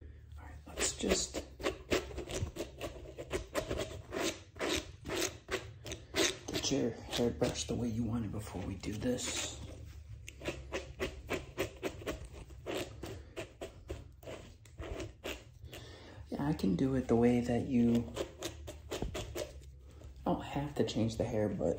right, let's just get your hair brushed the way you want it before we do this. I can do it the way that you I don't have to change the hair, but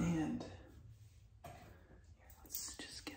And here, let's just get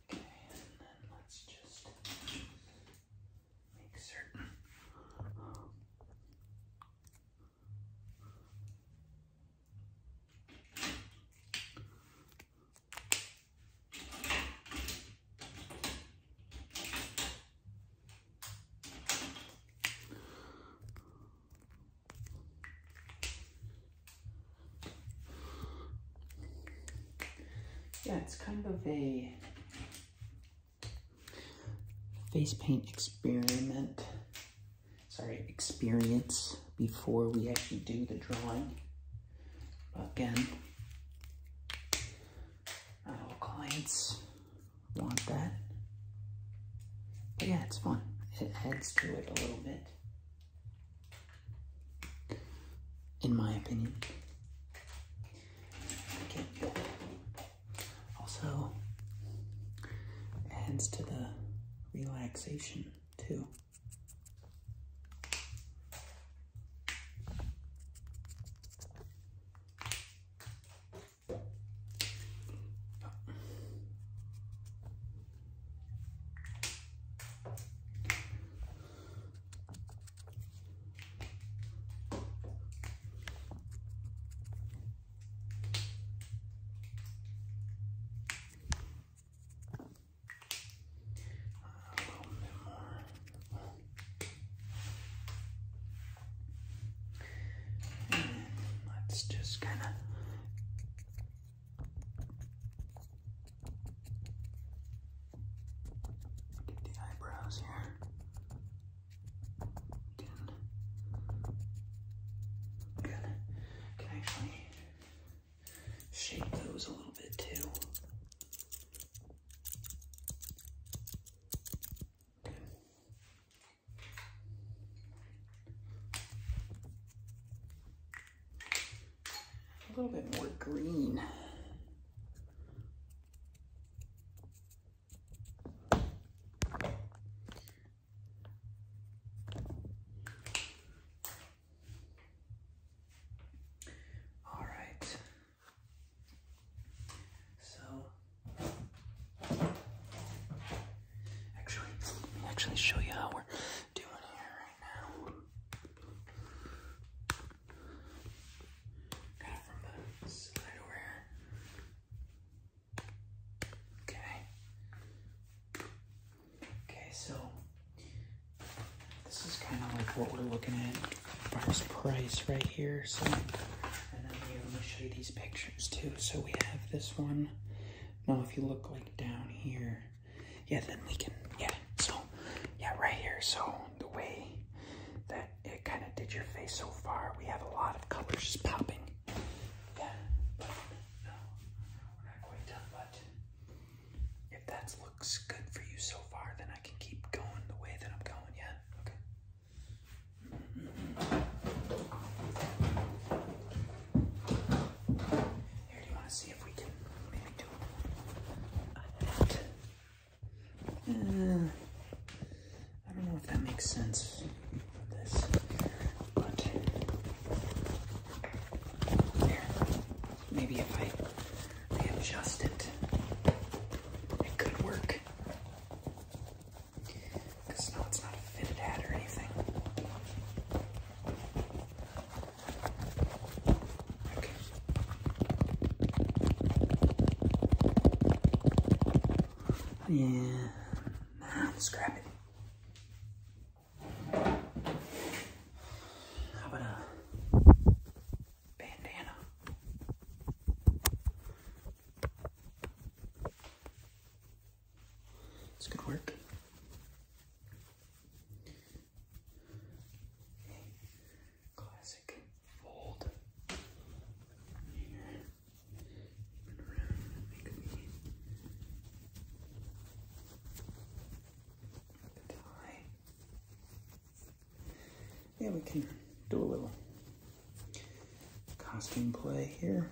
Okay, and then let's just make certain. Yeah, it's kind of a face paint experiment. Sorry, experience before we actually do the drawing. But again, not all clients want that. yeah, it's fun. It adds to it a little bit in my opinion. Also adds to the relaxation too. Let's just kind of Get the eyebrows here. Can, actually shape those a little bit too a little bit more green. actually show you how we're Okay. Okay, so this is kind of like what we're looking at as price right here. So, and then here, I'm gonna show you these pictures too. So we have this one. Now, if you look like down here, yeah, then we can, yeah, so, yeah, right here, so the way that it kind of did your face so far, we have a lot of colors just popping, yeah, but no, we're not quite done, but if that looks good for you so far, then I can keep going the way that I'm going, yeah, okay maybe uh, I don't know if that makes sense but Maybe if I adjust it, it could work. Because no, not a fitted hat or anything. Yeah. Nah, let it. How about a bandana? It's good work classic fold here. Turn tie. Yeah, we can do a little costume play here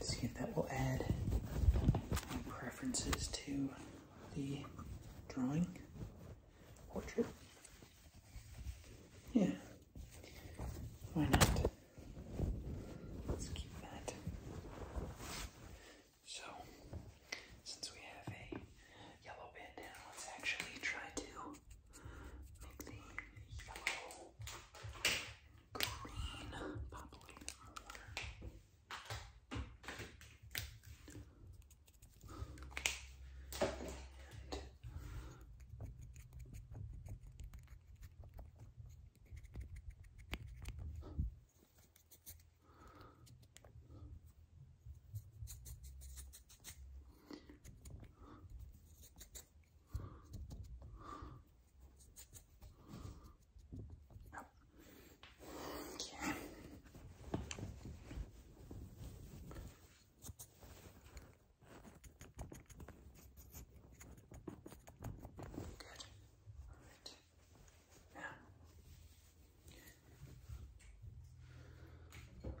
see if that will add any preferences to the drawing portrait. Yeah, why not? Let's keep that. So, since we have a yellow bandana, let's actually try to make the yellow green. Pop Okay. Good. All right. Now. More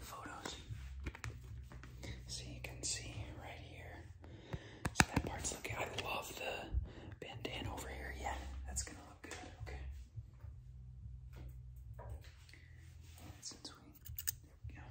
photos. So you can see right here. So that part's looking, I love the bandana over here. Yeah, that's gonna look good, okay. there we go.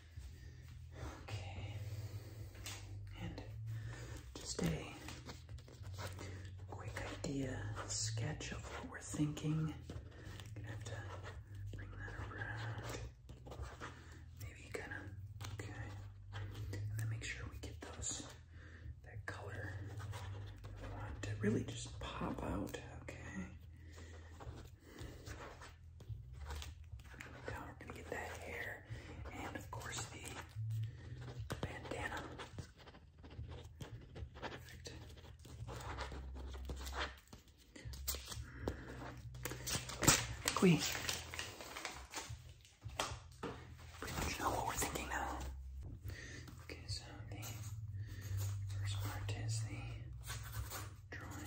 Okay. And just a quick idea sketch of what we're thinking. gonna have to bring that around. Maybe kind of okay. And then make sure we get those that color we want to really just pop out. Okay we're gonna get that hair and of course the bandana. Perfect. we know what we're thinking now. Okay, so the first part is the drawing.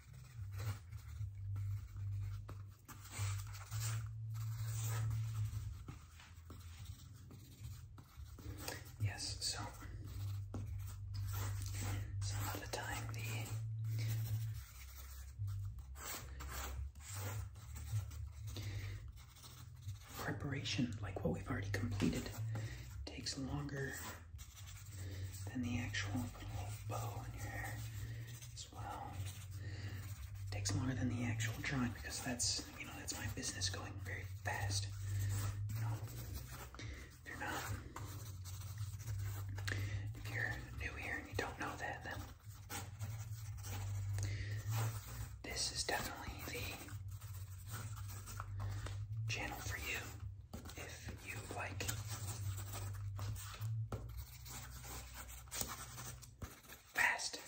Yes, so some other time the preparation, like what we've already completed, takes longer then the actual bow on your hair as well. takes longer than the actual drawing because that's you know that's my business going very fast. if you're not if you're new here and you don't know that then this is definitely the channel for you if you like. Fast.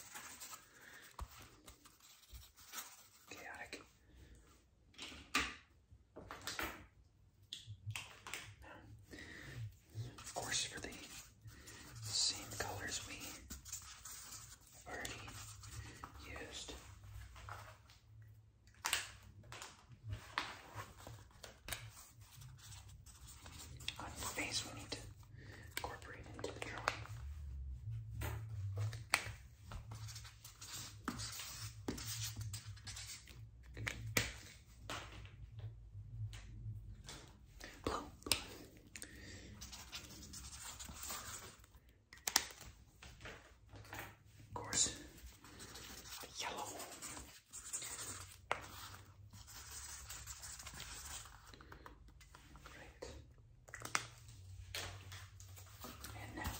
Chaotic. of course, for the same colors we already used. On his face, we need to incorporate into the of course, yellow. Great. And now.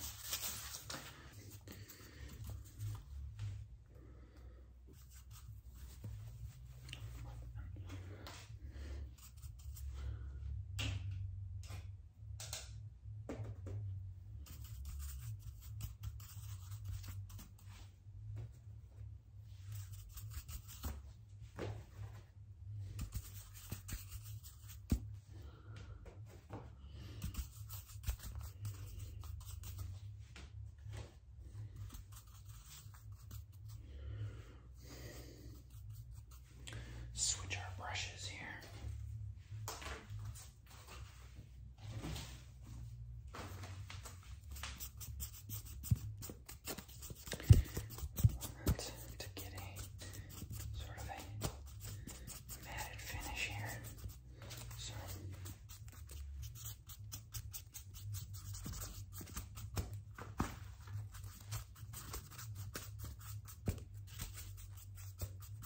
Switch our brushes here. Right, to get a sort of a matted finish here. So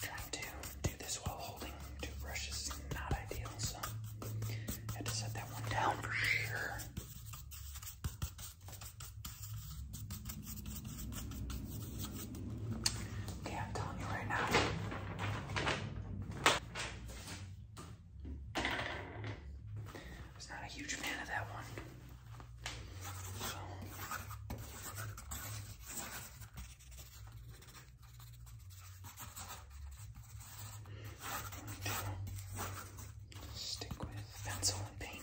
Trying to do this while holding two brushes is not ideal, so I had to set that one down for sure. Okay, I'm telling you right now. I was not a huge fan of that one. So. Stick with pencil and paint.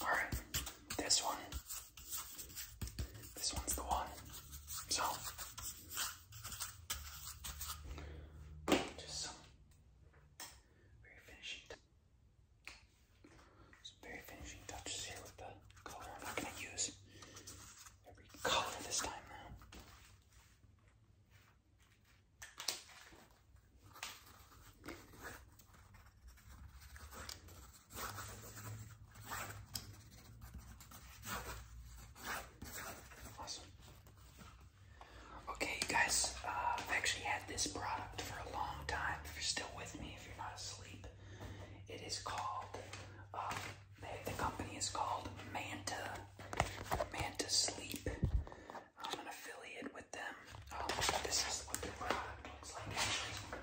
All right, this one. This one's the one. So, just very finishing very finishing touches here with the color. I'm not gonna use every color this time now. Awesome. Okay, you guys, uh, I've actually had this product for a long time. If you're still with me, if you're not asleep, it is called, um, the, company is called Manta, Manta Sleep. I'm an affiliate with them. Um, this is what their product looks like, actually.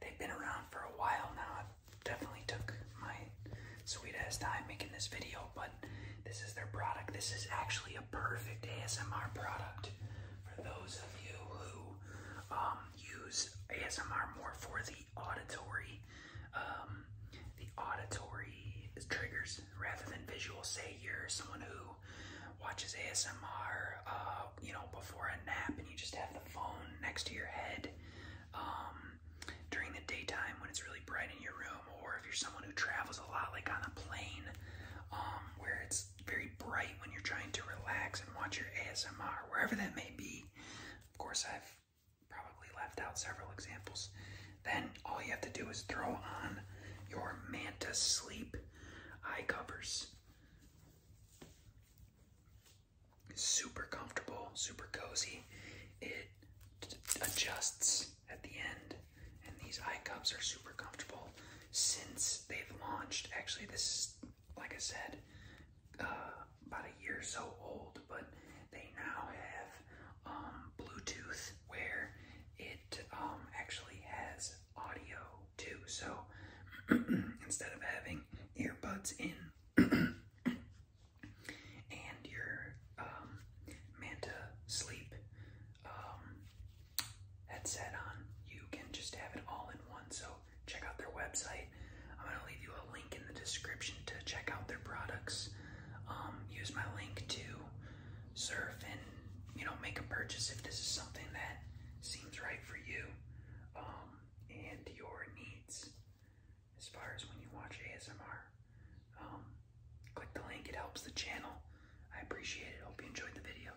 They've been around for a while now. I definitely took my sweet ass time making this video, but this is their product. This is actually a perfect ASMR product for those of you who um, use ASMR more for the auditory, um, the auditory triggers rather than visual. Say you're someone who watches ASMR, uh, you know, before a nap, and you just have the phone next to your head. Um, during the daytime when it's really bright in your room, or if you're someone who travels a lot, like on a plane, um, where it's very bright when you're trying to relax and watch your ASMR, wherever that may be. Of course, I've probably left out several examples. Then all you have to do is throw on your Manta Sleep eye covers. super comfortable, super cozy. It adjusts at the end. And these eye cups are super comfortable since they've launched. Actually, this is, like I said, uh, about a year or so old, but they now have um, Bluetooth where it um, actually has audio too. So instead of having earbuds in, and your um, Manta sleep um, headset on. You can just have it all in one. So check out their website. I'm gonna leave you a link in the description to check out their products. Um, use my link to surf and you know make a purchase if this is something that seems right for you um, and your needs as far as when you watch ASMR. Um, click the link, it helps the channel. I appreciate it. Hope you enjoyed the video.